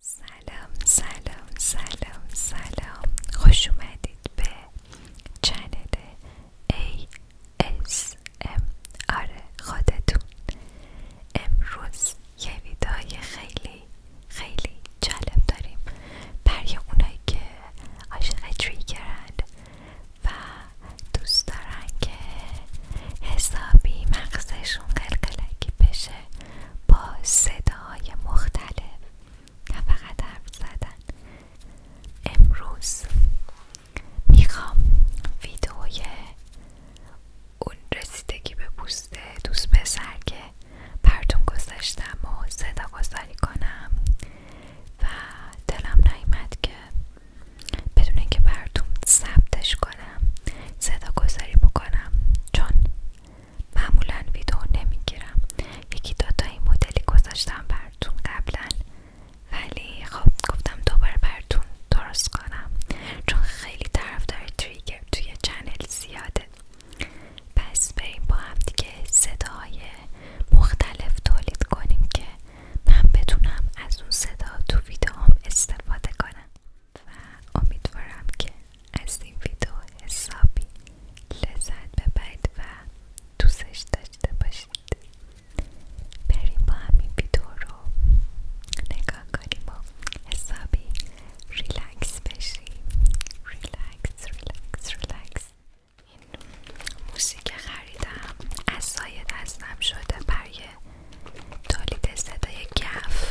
سلام سلام سلام سلام خوش اومدید به چنل ام اره خودتون امروز یه خیلی خیلی جالب داریم برای اونایی که عاشق تریگرن و دوست دارن که حسابی مغزشون قلقلکی بشه با صداهای مختلف نه فقط حرف زدن امروز میخوام ویدئوی اون رسیدگی به بوست دوست پسر که براتون گذاشتم و صدا گذاری کنم و دلم نیومد که بدون اینکه براتون ثبتش کنم صدا گذاری بکنم چون معمولا ویدیو نمیگیرم یکی دوتا این مدلی گذاشتم براتون قبلا ولی خب گفتم دوباره براتون درست کنم چون خیلی طرفدار تریگر توی چنل زیاده پس بریم با همدیگه صداهای مختلف تولید کنیم که من بتونم از اون صدا تو ویدیوام استفاده کنم و امیدوارم که از این ویدیو حسابی لذت ببرید و دوستش داشته باشید بریم با همین ویدیو رو نگاه کنیم و حسابی ریلکس بشیم ریلکس ریلکس ریلکس این موسیقی خریدم از سایه دستم شده برای تولید صدای گف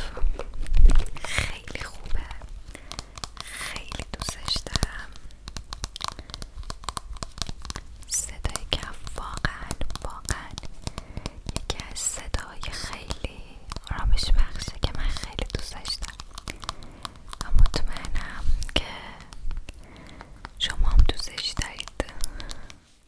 خیلی خوبه خیلی دوستش دارم صدای کف واقعا واقعا یکی از صدای خیلی آرامش بخشه که من خیلی دوستش مطمئنم که شما هم دوستش دارید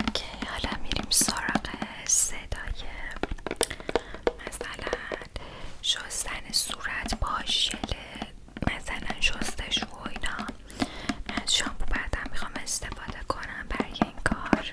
اوکی حالا میریم سراغ صدای مثلا شستن صورت با مثلا شستشو و اینا از شامپو بعدم میخوام استفاده کنم برای این کار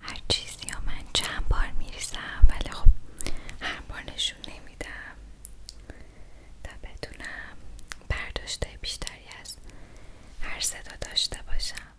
هر چیزی یا من چند بار میریسم ولی خب هر بار نشون نمیدم تا بتونم پرداشته بیشتری از هر صدا داشته باشم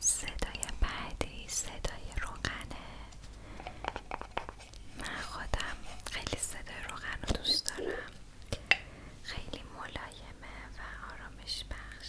صدای بعدی صدای روغنه من خودم خیلی صدای روغن رو دوست دارم خیلی ملایمه و آرامش بخش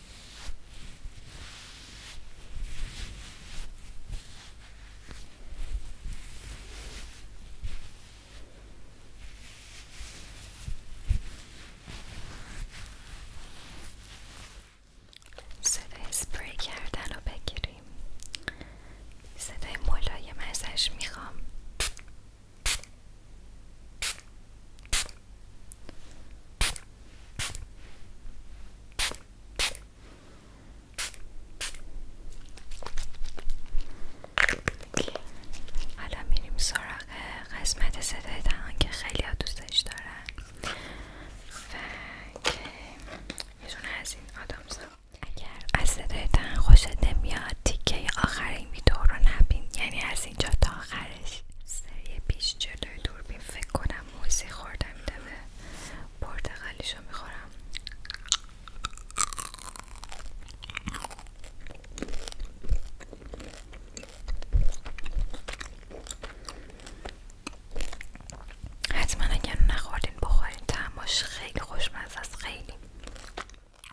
صدای اسپری کردن رو بگیریم صدای ملایم ازش میخوام حالا میریم سراغ قسمت صدای دهان که خیلی ها دوستش دارن و که از این اگر از صدای دهان خوشت نمیاد تیکه آخر این ویدیو رو نبین یعنی از اینجا تا آخر سری پیش جلوی دوربین فکر کنم موسی خوردم دمه پرتقالیشو میخورم حتما اگر نخوردین بخورین تماش خیلی خوشمزه است خیلی